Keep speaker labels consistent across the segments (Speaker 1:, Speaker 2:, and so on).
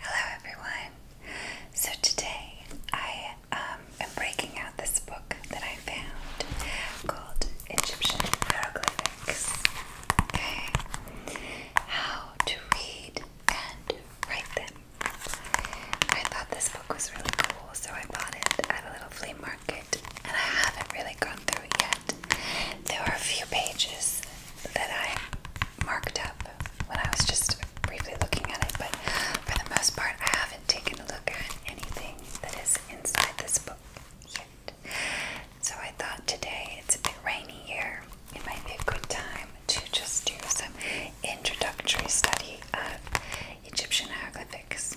Speaker 1: Hello everyone. So today I um, am breaking out this book that I found called Egyptian Hieroglyphics. Okay. How to read and write them. I thought this book was really cool, so I bought it at a little flea market and I haven't really gone through it yet. There were a few pages that I marked up when I was just briefly looking at it, but for the most part, I haven't taken a look at anything that is inside this book yet. So I thought today it's a bit rainy here, it might be a good time to just do some introductory study of Egyptian hieroglyphics.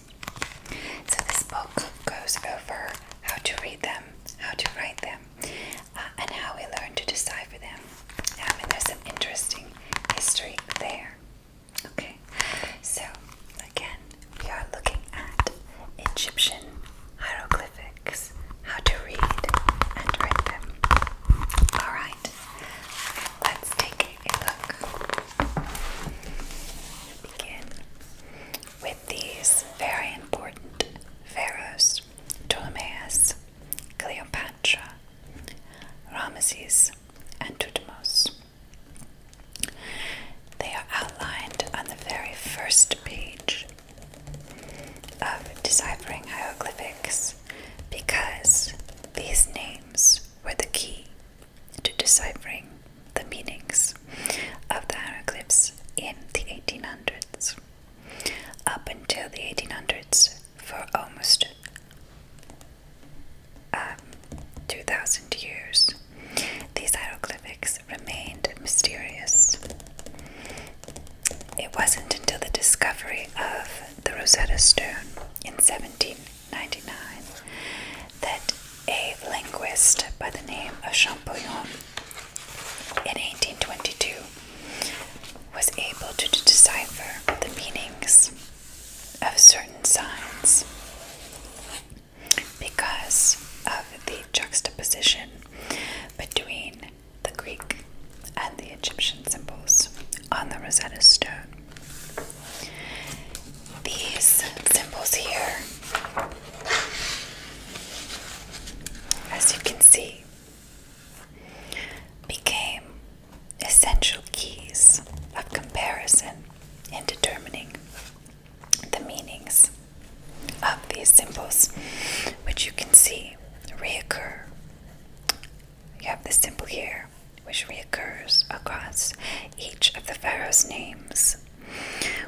Speaker 1: So this book goes over how to read them, how to write them, and how we learn to decipher them. I mean, there's some interesting history there. Okay, so again, we are looking at Egyptian hieroglyphics, how to read and write them. Alright, let's take a look. Begin with these very important pharaohs Ptolemaeus, Cleopatra, Ramesses, and Thutmose. They are outlined on the very first page of Deciphering Hieroglyphics because these names were the key to deciphering the meanings of the hieroglyphs in the 1800s up until the 1800s for almost um, 2,000 years. These hieroglyphics remained mysterious. It wasn't until the discovery of the Rosetta Stone in 1799 that a linguist by the name of Champollion in 1822 was able to decipher the meanings of certain signs because of the juxtaposition between the Greek and the Egyptian symbols on the Rosetta Stone. These symbols here, as you can see, became essential keys of comparison in determining the meanings of these symbols, which you can see reoccur. You have this symbol here, which reoccurs across each of the pharaoh's names,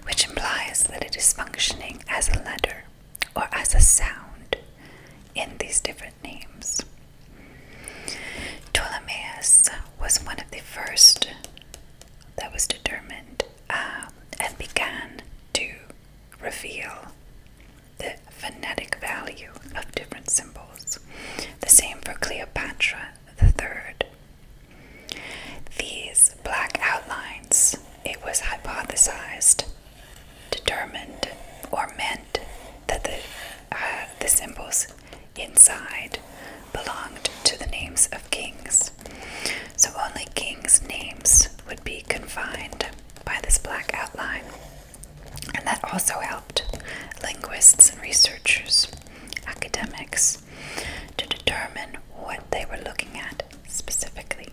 Speaker 1: which implies that it is functioning as a letter or as a sound in these different names. Ptolemaeus was one of the first that was determined um, and began to reveal the phonetic value of different symbols. The same for Cleopatra the Third. These black outlines, it was hypothesized determined or meant that the, uh, the symbols inside belonged to the names of kings. So only kings' names would be confined by this black outline. And that also helped linguists and researchers, academics, to determine what they were looking at specifically.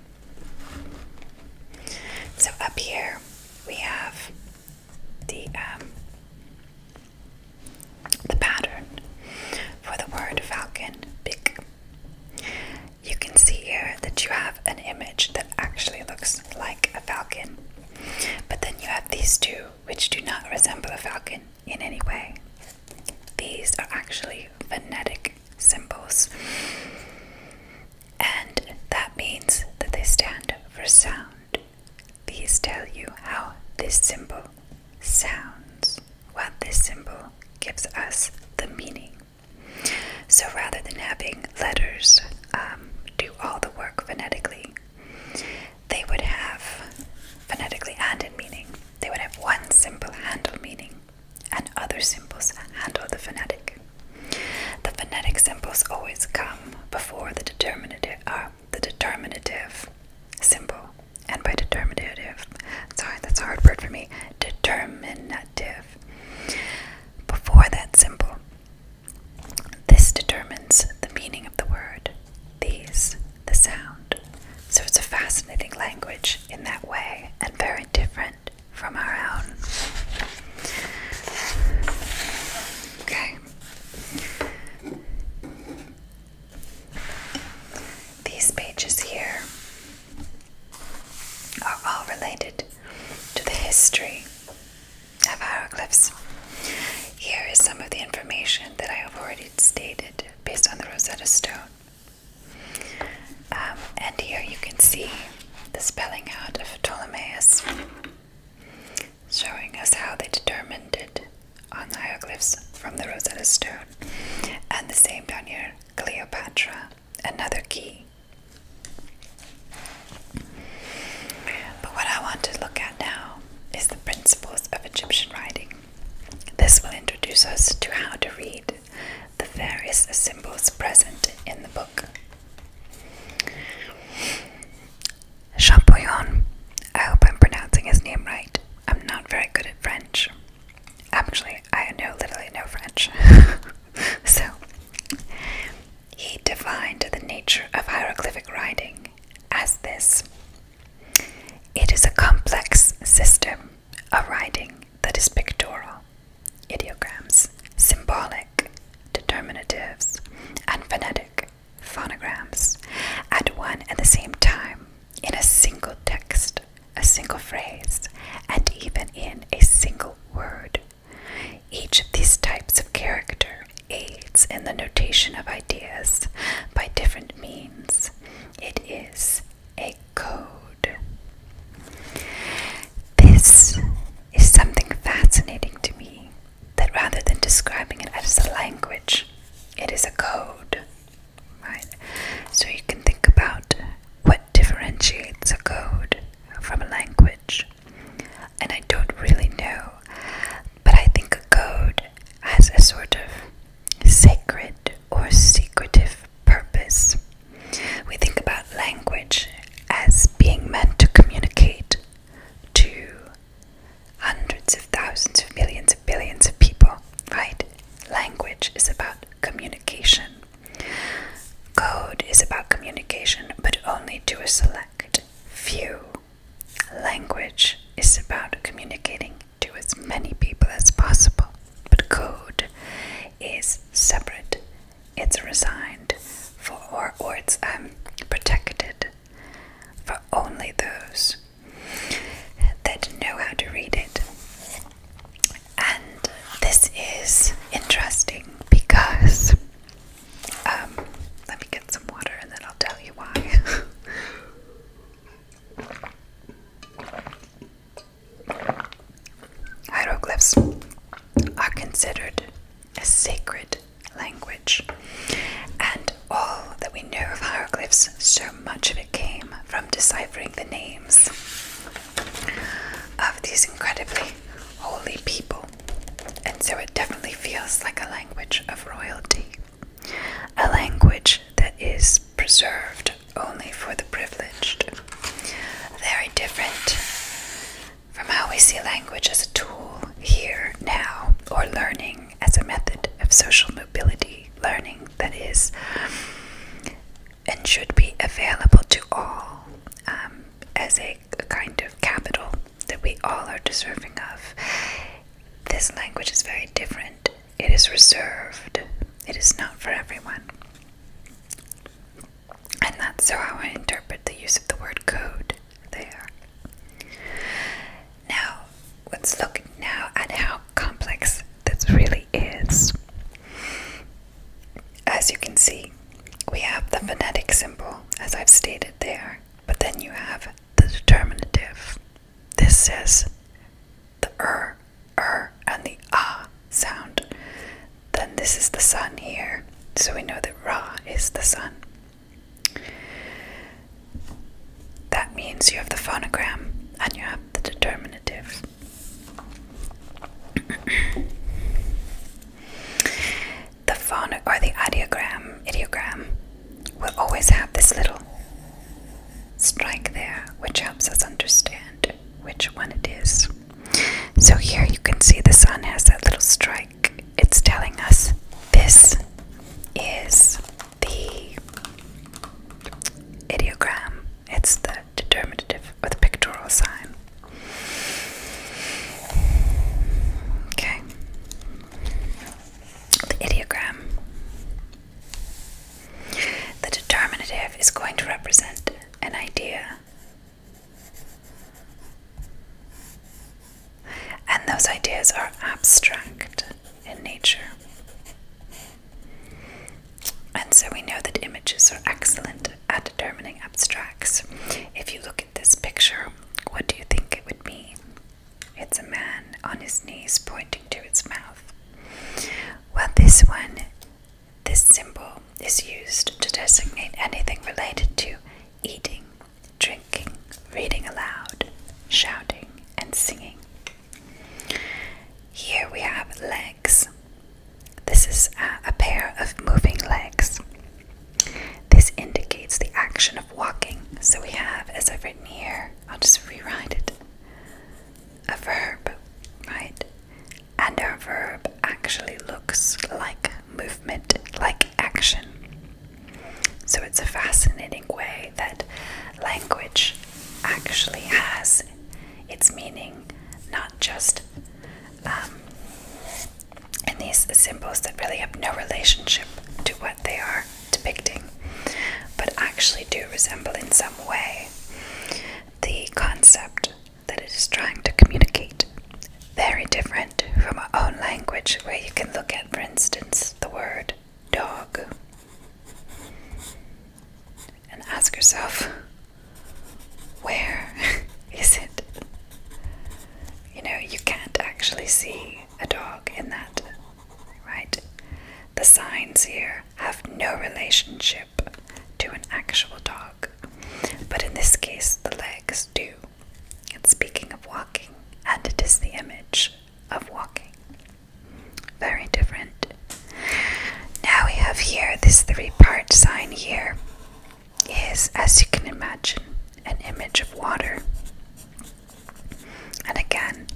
Speaker 1: So up here we have the um, the pattern for the word falcon You can see here that you have an image that actually looks like a falcon, but then you have these two which do not resemble a falcon in any way. These are actually phonetic symbols and that means that they stand for sound. These tell you how this symbol sounds, what this symbol gives us the meaning. So rather than having letters um, do all the work phonetically, they would have, phonetically and in meaning, they would have one symbol handle meaning and other symbols handle the phonetic. The phonetic symbols always come before uh, the determinative, symbol. And by determinative, sorry, that's a hard word for me, determinative. Before that symbol, this determines the meaning of the word, these, the sound. So it's a fascinating language in that way and very different from our own. Okay. These pages here are all related to the history of hieroglyphs. Here is some of the information that I have already stated based on the Rosetta Stone. Um, and here you can see the spelling out of Ptolemaeus, showing us how they determined it on the hieroglyphs from the Rosetta Stone. And the same down here, Cleopatra, another key. But what I want to look at now is the principles of Egyptian writing. This will introduce us to how to read the various symbols present in the book. Champollion. I hope I'm pronouncing his name right. I'm not very good at French. Actually, I know literally no French. so, he defined the nature of hieroglyphic writing as this It is a complex system of writing that is pictorial Ideograms, symbolic, determinatives, and phonetic, phonograms, at one and the same time, in a single text, a single phrase, and even in a single word. Each of these types of character aids in the notation of ideas by different means. It is a code. This is something fascinating to me that rather than describing it as a language, it is a code. Right? So you can think about what differentiates a code from a language. And I don't really know, but I think a code has a sort of sacred or secretive purpose. We think about language as being meant to communicate to hundreds of thousands of millions of billions of people, right? Language is about communication. Code is about communication, but only to a select few. Language is about communicating to as many people as possible, but code is separate it's resigned for or, or it's um, protected for only those that know how to read it. And this is interesting because um, let me get some water and then I'll tell you why. Hieroglyphs are considered a sacred language, and all that we know of hieroglyphs, so much of it came from deciphering the names of these incredibly holy people, and so it definitely feels like a language of royalty, a language that is preserved only for the privileged. Very different from how we see language as a tool here, now, or learning as a method of social mobility, learning that is and should be available to all um, as a kind of capital that we all are deserving of. This language is very different, it is reserved, it is not for everyone. And that's how I interpret the use of the word code there. Now, let's look now at how complex this really is. As you can see, we have the phonetic symbol, as I've stated there, but then you have the determinative. This is the er, er, and the ah sound. Then this is the sun here, so we know that Ra is the sun. That means you have the phonogram and you have the determinatives. the phon or the ideogram, ideogram, will always have this little strike there, which helps us understand which one it is. So here you can see the sun has that little strike. It's telling us this is the ideogram. It's the determinative or the pictorial sign. Okay. The ideogram. The determinative is going to represent an idea and those ideas are abstract in nature. And so we know that images are excellent at determining abstracts. If you look at this picture, what do you think it would be? It's a man on his knees pointing to his mouth. Well, this one this symbol is used to designate anything related to eating, drinking, reading aloud, shouting, and singing. Here we have legs. This is uh, a, pair of moving legs. This indicates the action of walking. So we have, as I've written here, I'll just rewrite it, a verb, right? and our verb actually looks like movement, like action. So it's a fascinating way that language actually has its meaning, not just um, in these symbols that really have no relationship to what they are depicting, but actually do resemble in some way the concept that it is trying to communicate. Very different from our own language, where you can look at, for instance, the word dog and ask yourself, where is it? You know, you can't actually see a dog in that, right? The signs here have no relationship to an actual dog but in this case, the legs do. It's speaking of walking, and it is the image of walking. Very different. Now we have here this three part sign here is, as you can imagine, an image of water. And again,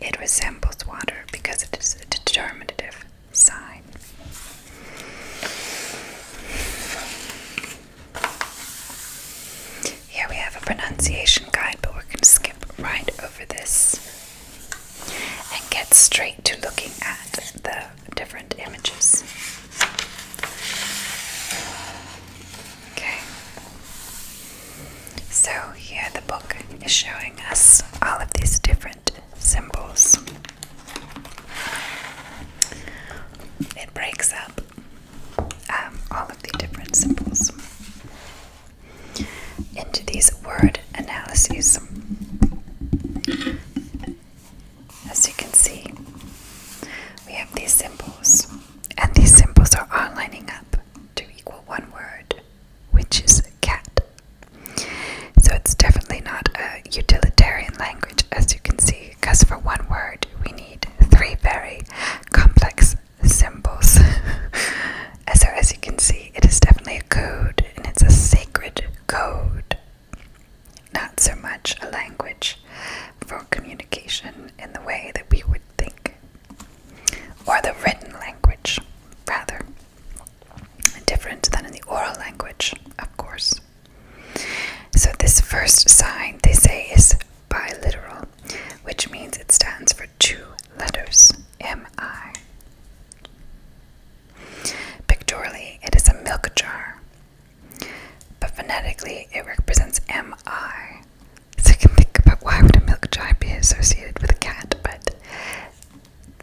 Speaker 1: it resembles water because it is a determinative sign. Here we have a pronunciation guide, but we're skip right over this and get straight to looking at the different images. Okay, so here the book is showing us all of these different symbols. It breaks up um, all of the different symbols into these word analyses. As you can see, we have these symbols, and these symbols are all lining up to equal one word, which is cat. So it's definitely not a utilitarian language, as you can see because for one word we need three very complex symbols. so as you can see, it is definitely a code and it's a sacred code, not so much a language for communication in the way that we would think, or the written language, rather. Different than in the oral language, of course. So, this first sign they say is biliteral, which means it stands for two letters MI. Pictorially, it is a milk jar, but phonetically, it represents MI. So, I can think about why would a milk jar be associated with a cat, but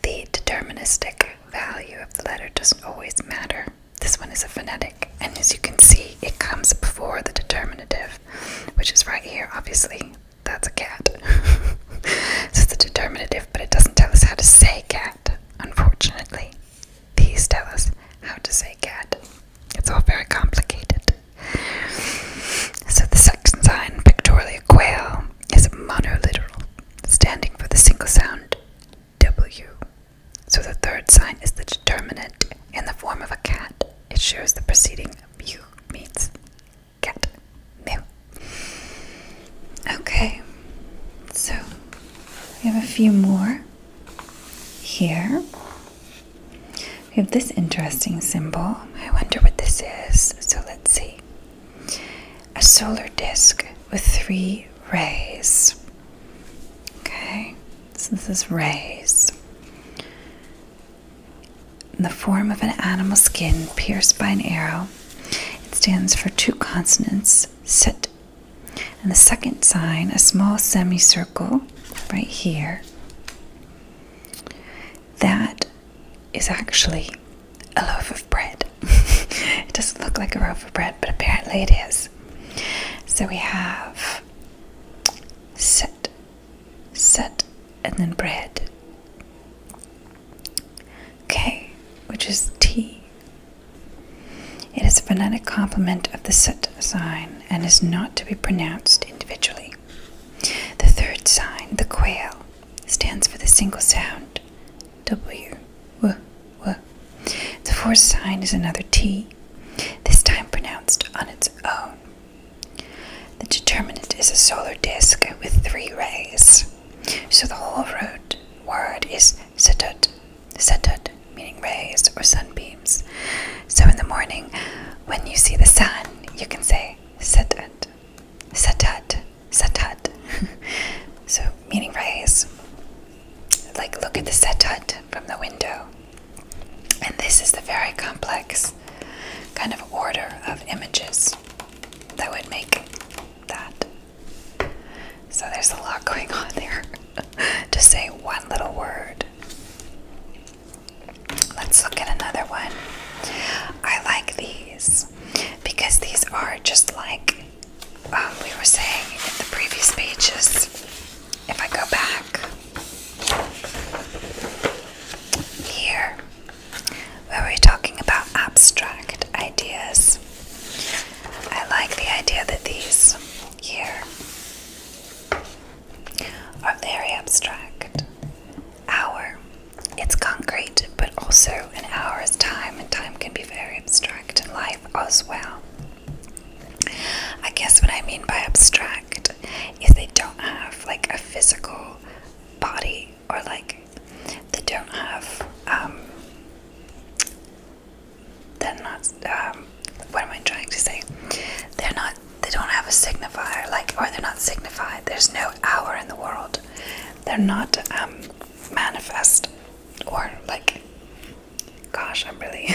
Speaker 1: the deterministic value of the letter doesn't always matter. This one is a phonetic, and as you can see, it comes before the determinative, which is right here. Obviously, that's a cat. so it's a determinative, but it doesn't tell us how to say cat, unfortunately. These tell us how to say cat. It's all very complicated. So the section sign, pictorial quail, is monoliteral, standing for the single sound W. So the third sign is the determinant in the form of a cat. It shows the preceding mu means cat. Mew. Okay, so we have a few more here. We have this interesting symbol. I wonder what this is. So let's see. A solar disk with three Raise. Okay, so this is raise. In the form of an animal skin pierced by an arrow, it stands for two consonants, sit, and the second sign, a small semicircle right here. That is actually a loaf of bread. it doesn't look like a loaf of bread, but apparently it is. So we have set, set, and then bread. Okay, which is tea. It is a phonetic complement of the set sign and is not to be pronounced individually. The third sign, the quail, stands for the single sound W. W. W. The fourth sign is another T, this time pronounced on its own. The determinant is a solar disk with three rays. So the whole root word is setut, setut, meaning rays or sunbeams. So in the morning, when you see the sun, you can say setut, setut, setut. so meaning rays like look at the setut from the window. And this is the very complex kind of order of images that would make that. So there's a lot going on there to say one little word. Let's look at another one. I like these because these are just like um, we were saying in the previous pages, if I go back here, where we're talking about abstract ideas, I like the idea that these here are very abstract. Hour. It's concrete, but also an hour's time, and time can be very abstract in life as well. I guess what I mean by abstract is they don't have like a physical body or like they don't have um they're not um what am I trying to say? They're not they don't have a signifier like or they're not signified. There's no hour in the world. They're not um manifest or like Gosh, I'm really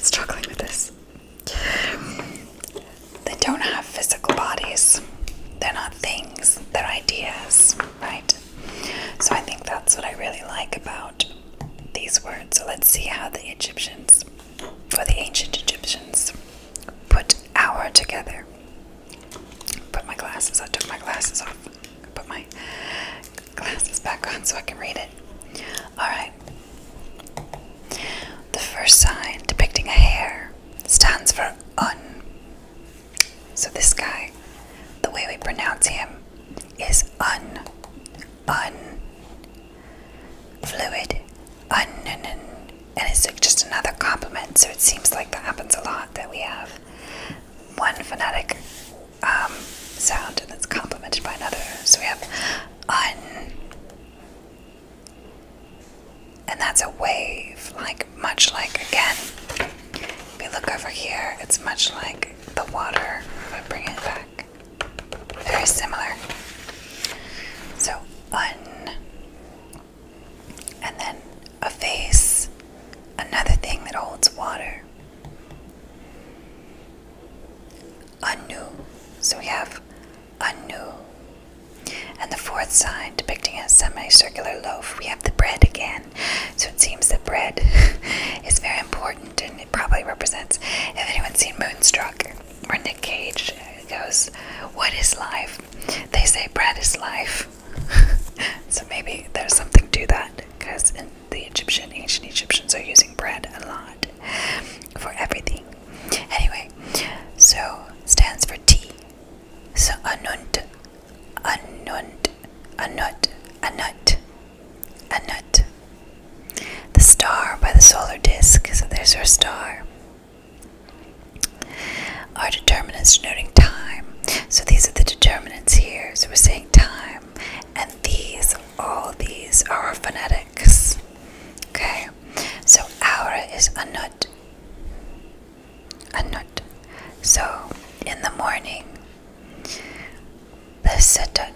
Speaker 1: struggling with this. They don't have physical bodies. They're not things, they're ideas, right? So I think that's what I really like about these words. So let's see how the Egyptians, for the ancient Egyptians, put our together. Put my glasses, I took my glasses off. Put my glasses back on so I can read it. Alright. The first sign depicting a hair stands for un. So this guy, the way we pronounce him is un. Un. Fluid. Un. And it's just another compliment, so it seems like that happens a lot that we have one phonetic um, sound and that's complemented by another. So we have un, and that's a wave, like much like again. If you look over here, it's much like the water. If I bring it back, very similar. So un, and then a vase, another thing that holds water. Anu. So we have Anu. And the fourth sign, depicting a semicircular loaf, we have the bread again. So it seems that bread is very important and it probably represents. If anyone's seen Moonstruck or Nick Cage, it goes, What is life? They say bread is life. so maybe there's something to that because the Egyptian, ancient Egyptians are using bread a lot for everything. Anyway, so stands for T. So anunt, anunt, anut, anut, anut. The star by the solar disk, so there's our star. Our determinants denoting time. So these are the determinants here. So we're saying time and these, all these are phonetics. Okay, so aura is anut, anut. So in the morning, the sitat.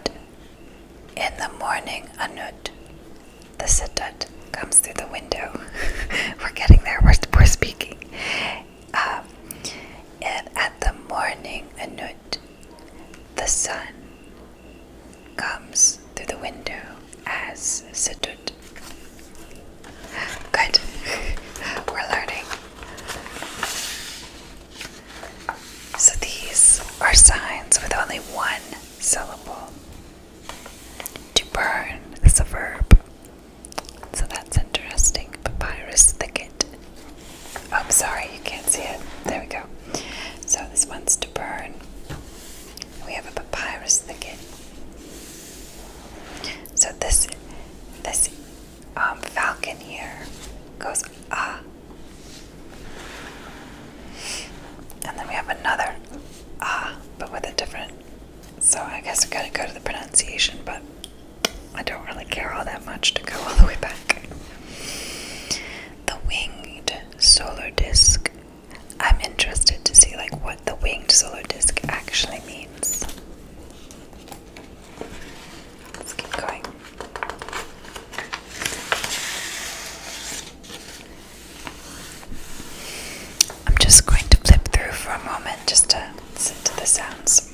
Speaker 1: In the morning, anut, the sitat comes through the window. we're getting there. We're, we're speaking. Um, and at the morning, anut. The sun comes through the window as Sedut. Good. We're learning. So these are signs with only one syllable. To burn is a verb. So that's interesting. Papyrus thicket I'm oh, sorry, you can't see it. There we go. So this one's to burn. We have a papyrus thicket. So this this um, falcon here goes ah, and then we have another ah, but with a different. So I guess we're gonna go to the pronunciation, but I don't really care all that much to go all the way back. The winged solar disk. I'm interested to see like what the winged solar disk actually means. Let's keep going. I'm just going to flip through for a moment just to listen to the sounds.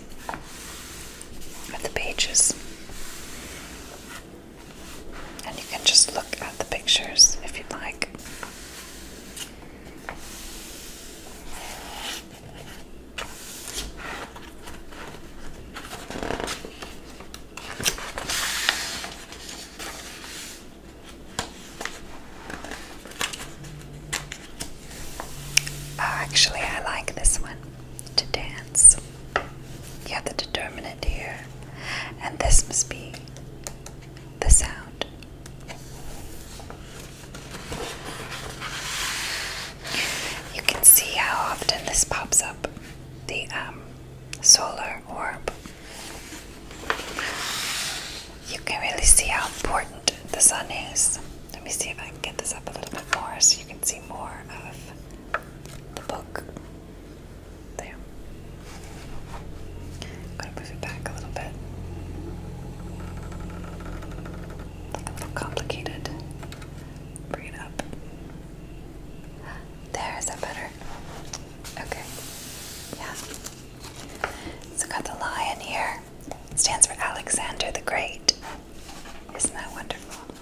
Speaker 1: At the pages. And you can just look at the pictures if you'd like. Oh, actually, I like this one to dance. You have the determinant here, and this must be the sound. You can see how often this pops up the um, solar orb. You can really see how important the sun is. Let me see if I can get this up a little bit more so you can see more of the book. There. i to move it back a little bit. a little complicated. Bring it up. There, is that better? Okay. Yeah. So got the lion here. It stands for Alexander the Great. Isn't that wonderful?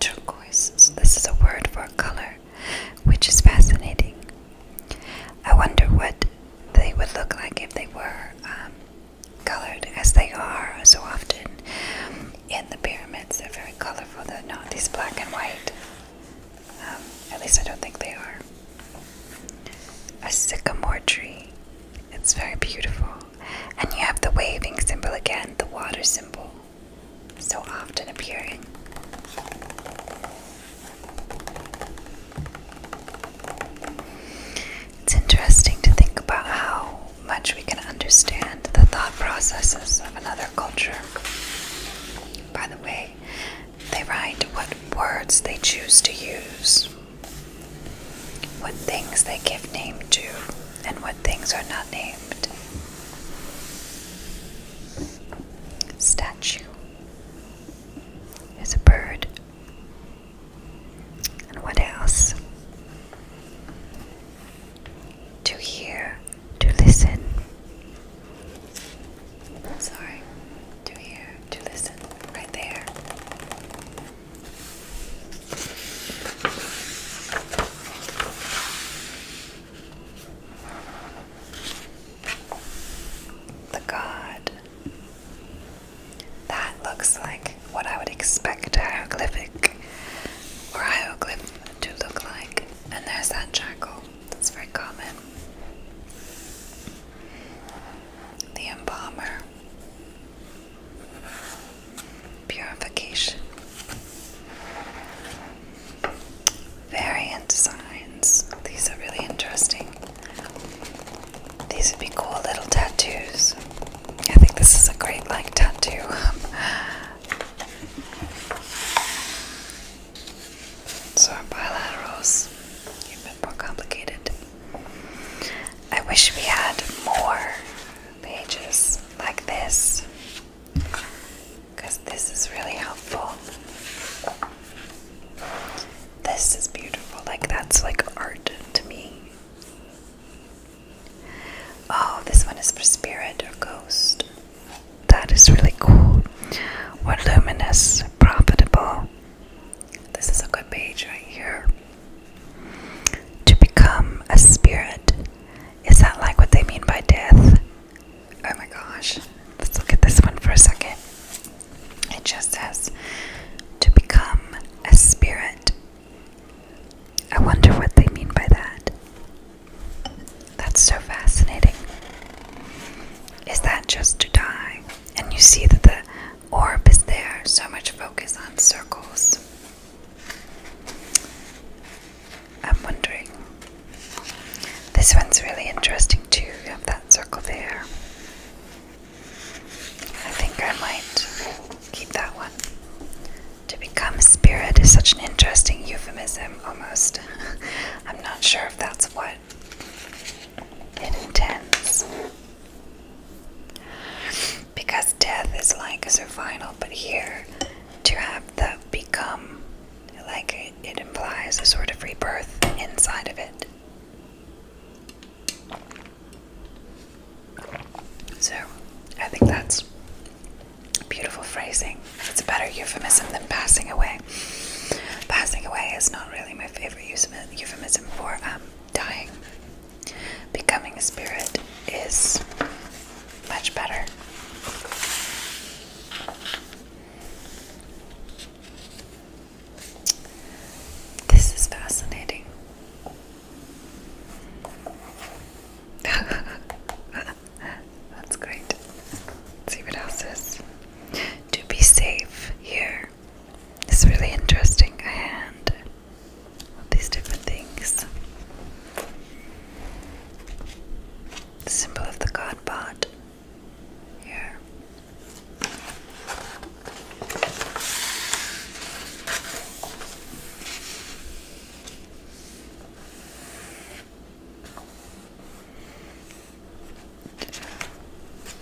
Speaker 1: Turquoise, so this is a word for color, which is fascinating I wonder what they would look like if they were um, colored as they are so often in the pyramids. They're very colorful, they're not these black and white. Um, at least I don't think they are. A sycamore tree. It's very beautiful. And you have the waving symbol again, the water symbol, so often appearing. It's interesting to think about how much we can understand the thought processes of another culture. By the way, they write what words they choose to use, what things they give name to, and what things are not named. Statue. There's a bird. And what else? To hear, to listen. Sorry, to hear, to listen, right there. The God that looks like what I would expect a hieroglyphic or hieroglyph to look like. And there's that jackal, that's very common. The embalmer. Purification. Variant signs. These are really interesting. These would be cool little tattoos. I think this is a great like tattoo. so our bilaterals, a bit more complicated. I wish we had more pages like this because this is really helpful. This is beautiful. Like, that's like art to me. Oh, this one is for spirit or ghost. That is really cool. What luminous, profitable. This is a good page right here. To become a spirit. Is that like what they mean by death? Oh my gosh. Let's look at this one for a second. It just says to become a spirit. I wonder what they mean by that. That's so fascinating. Is that just to die? And you see that the orb is there, so much focus on circles. I'm wondering. This one's really interesting too. You have that circle there. I think I might keep that one. To become a spirit is such an interesting euphemism, almost. I'm not sure if that's what it intends. Because death is like a final, but here to have the become, like it implies a sort of rebirth inside of it. So, I think that's beautiful phrasing. It's a better euphemism than passing away. Passing away is not really my favorite euphemism for um, dying. Becoming a spirit is much better. This is fascinating. That's great. see what else is. To be safe here. It's really interesting. A these different things. symbol of the god pot.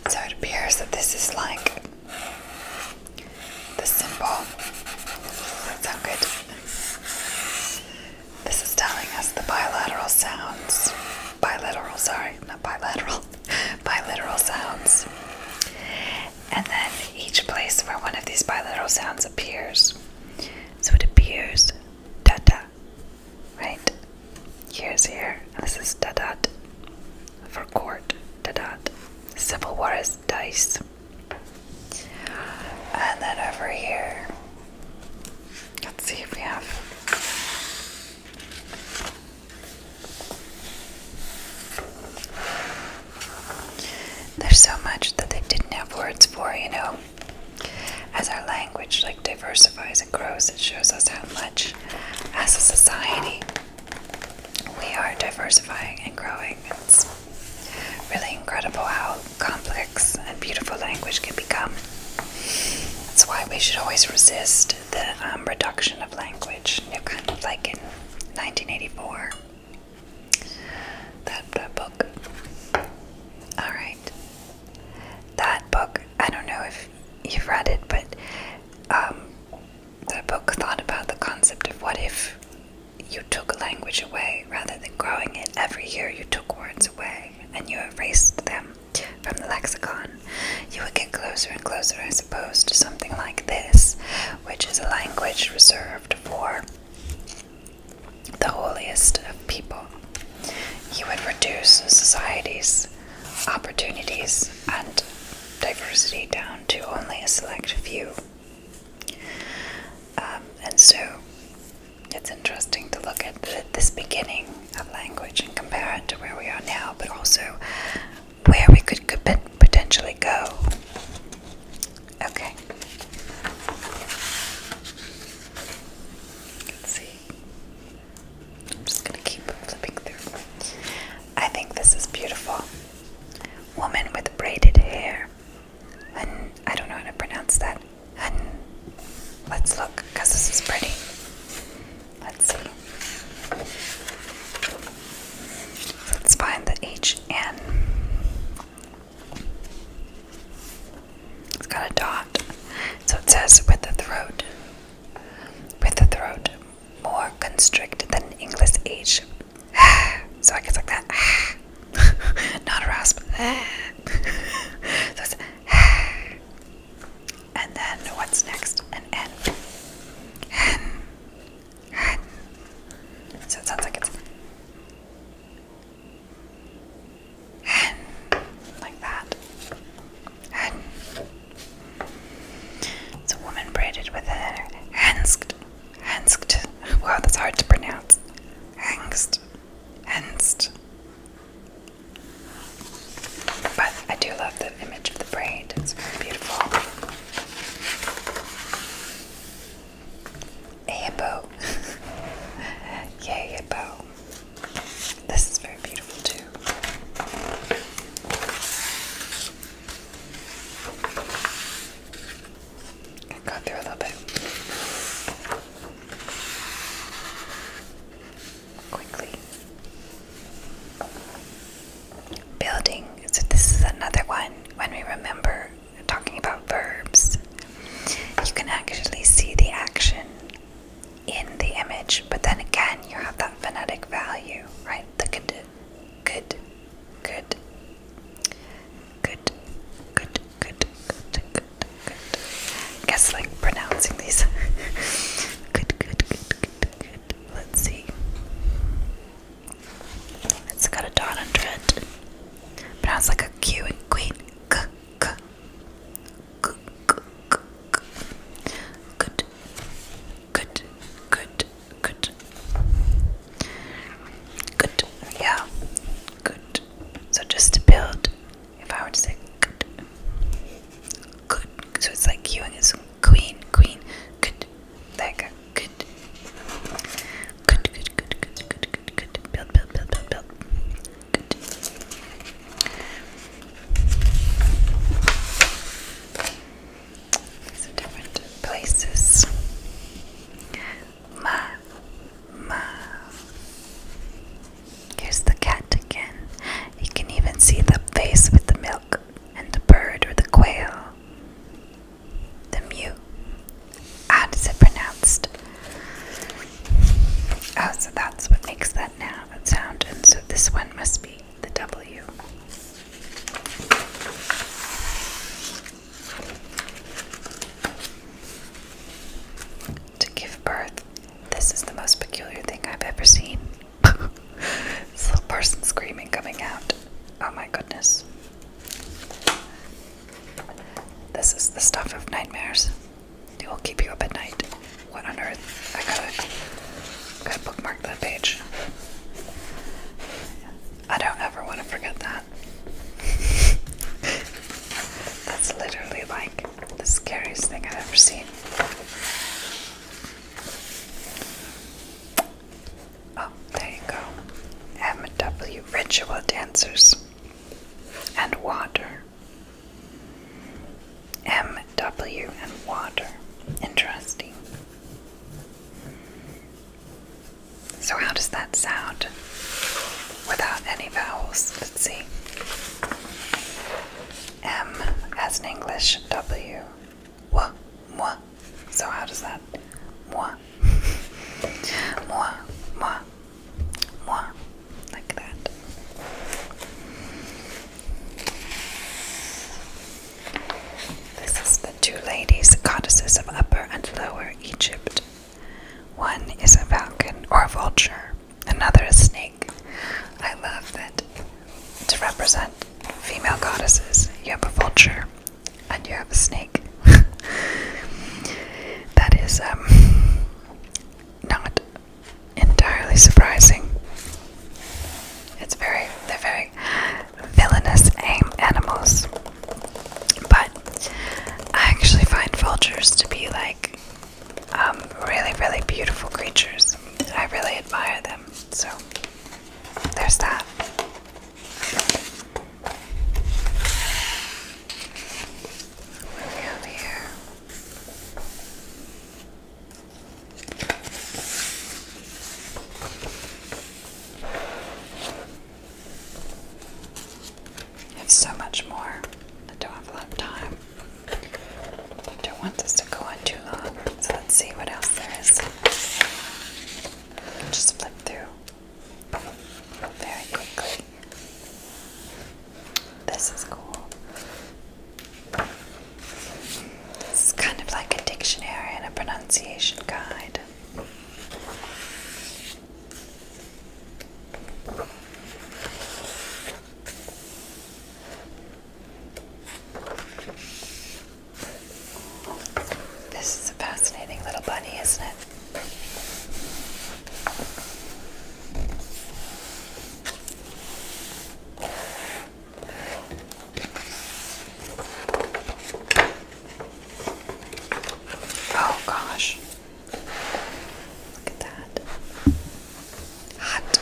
Speaker 1: So it appears that this is like the symbol. Does that sound good? This is telling us the bilateral sounds bilateral, sorry, not bilateral, bilateral sounds. And then each place where one of these bilateral sounds appears. So it appears da da, right? Here's here, this is da dot for court, da dot. Civil war is dice. And then over here, let's see if we have there's so much that they didn't have words for, you know. As our language like diversifies and grows, it shows us how much as a society we are diversifying and growing. It's really incredible how complex and beautiful language can become. That's why we should always resist the um, reduction of language, you know, kind of like in 1984. That, that book. Alright. That book, I don't know if you've read it, but um, the book thought about the concept of what if you took language away rather than growing it. Every year you took words away and you erased them from the lexicon. You would get closer and closer, I suppose, to something like this, which is a language reserved for the holiest of people. You would reduce society's opportunities and diversity down to only a select few. Um, and so it's interesting to look at this beginning of language and compare it to where we are now, but also where we could, potentially go. Okay. see. I'm just going to keep flipping through. I think this is beautiful. Woman with braided hair. And I don't know how to pronounce that. let's look because this is pretty. Let's see. Let's find the HN. It's got a dot. So it says with the throat. With the throat more constricted than English H. so I guess like that. Not a rasp. so it's and then what's next? And N. and So it sounds like it's hen. Like that. Hen. a woman braided with a hensked. Hensked. Wow, that's hard to pronounce. Hengst. Henst. But I do love the image of the braid, it's very beautiful. A Yay, hippo. This is very beautiful too. got through a little bit quickly. Building, so this is another one when we remember talking about verbs. You can actually see the action in the image, but then again, you have that phonetic value, right? The good, good, good, good, good, good, good, good, good. I guess like pronouncing these. good, good, good, good, Let's see. It's got a dot under it. Pronounced like a Q and queen. Good. Good. Good. Good. Good. Yeah. Good. So just to build, if I were to say good. Good. So it's like Q and it's queen, queen, good, like good. Good, good, good, good, good, good, good. Build, build, build, build, build. different places. Ma, ma. Here's the cat again. You can even see the face with the milk and the bird or the quail. The mew. How does it pronounced? Oh, so that's what makes that now sound, and so this one must be the W. To give birth. This is the most peculiar thing I've ever seen it's little person screaming coming out. Oh my goodness. This is the stuff of nightmares. It will keep you up at night. What on earth? I gotta, gotta bookmark that page. I don't ever want to forget that. That's literally like the scariest thing I've ever seen. Oh, there you go. m Ritual Dancers and Water. M.W. and Water. Interesting. So, how does that sound without any vowels? Let's see. M as an English, W moi, moi. So how does that? Moi, moi, moi, moi, like that. This is the two ladies, the goddesses of Upper and Lower Egypt. One is a falcon or a vulture, another a snake. I love that to represent female goddesses, you have a vulture and you have a snake. that is um, not entirely surprising. It's very, they're very villainous animals. But I actually find vultures to be like um, really, really beautiful creatures. I really admire them. So there's that. Moving over here. I have so much more. I don't have a time. Don't want this to go on too long. So let's see what else there is. Just flip through very quickly. This is cool. This is kind of like a dictionary and a pronunciation guide. This is a fascinating little bunny, isn't it? Oh gosh. Look at that. Hot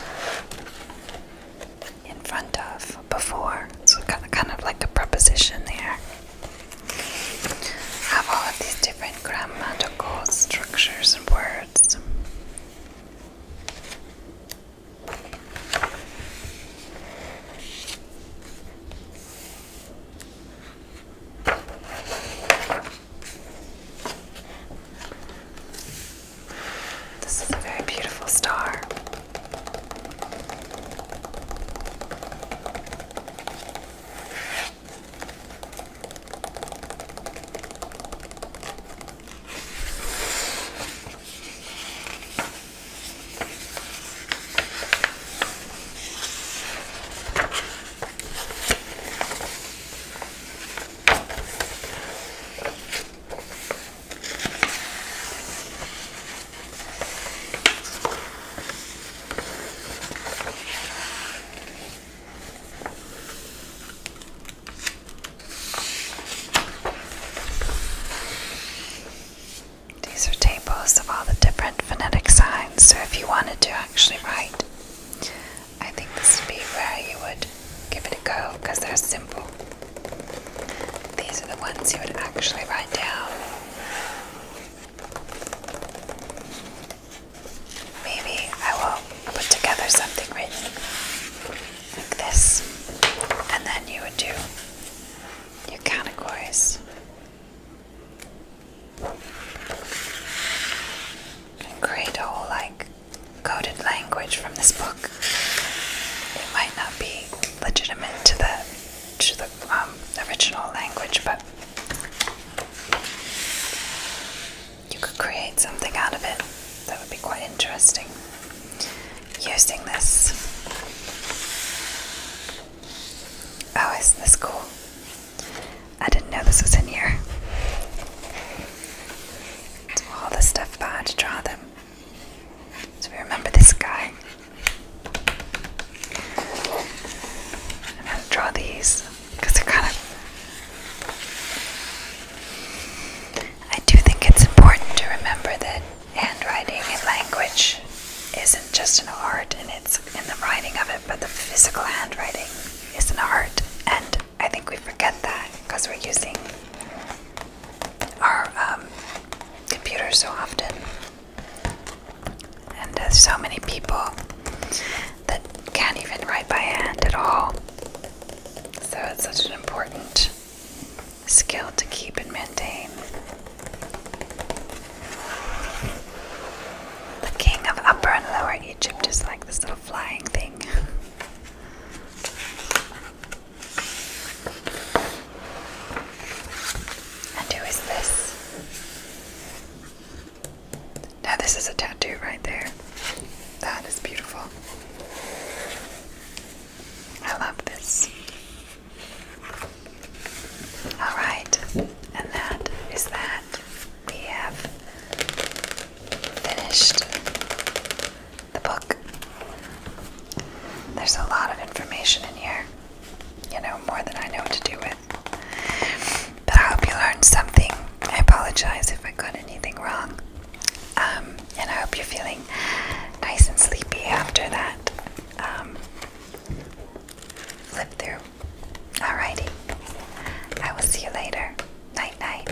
Speaker 1: in front of before. So kind of like a preposition there. Have all of these different grammatical structures and words. This is a very beautiful star. These are tables of all the different phonetic signs, so if you wanted to actually write, I think this would be where you would give it a go because they're simple. These are the ones you would actually write down. Maybe I will put together something written like this, and then you would do your categories. And create a whole like coded language from this book. It might not be legitimate to the to the um, original language, but you could create something out of it that would be quite interesting using this. Oh, isn't this cool? I didn't know this was in here. all the stuff, but I had to draw them. So we remember this guy. I'm going to draw these because they're kind of. I do think it's important to remember that handwriting and language isn't just an art and it's in the writing of it, but the physical handwriting is an art. And I think we forget that because we're using our um, computers so often. And so many people that can't even write by hand at all. So it's such an important skill to keep and maintain. The king of Upper and Lower Egypt is like this little flying thing. And who is this? Now, this is a tattoo right there. That is beautiful. I love this. All right, and that is that. We have finished the book. There's a lot of information in here, you know, more than I know what to do with. But I hope you learned something. I apologize if I got anything wrong. Um, and I hope you're feeling nice and sleepy after that um, flip through. All righty. I will see you later. Night, night.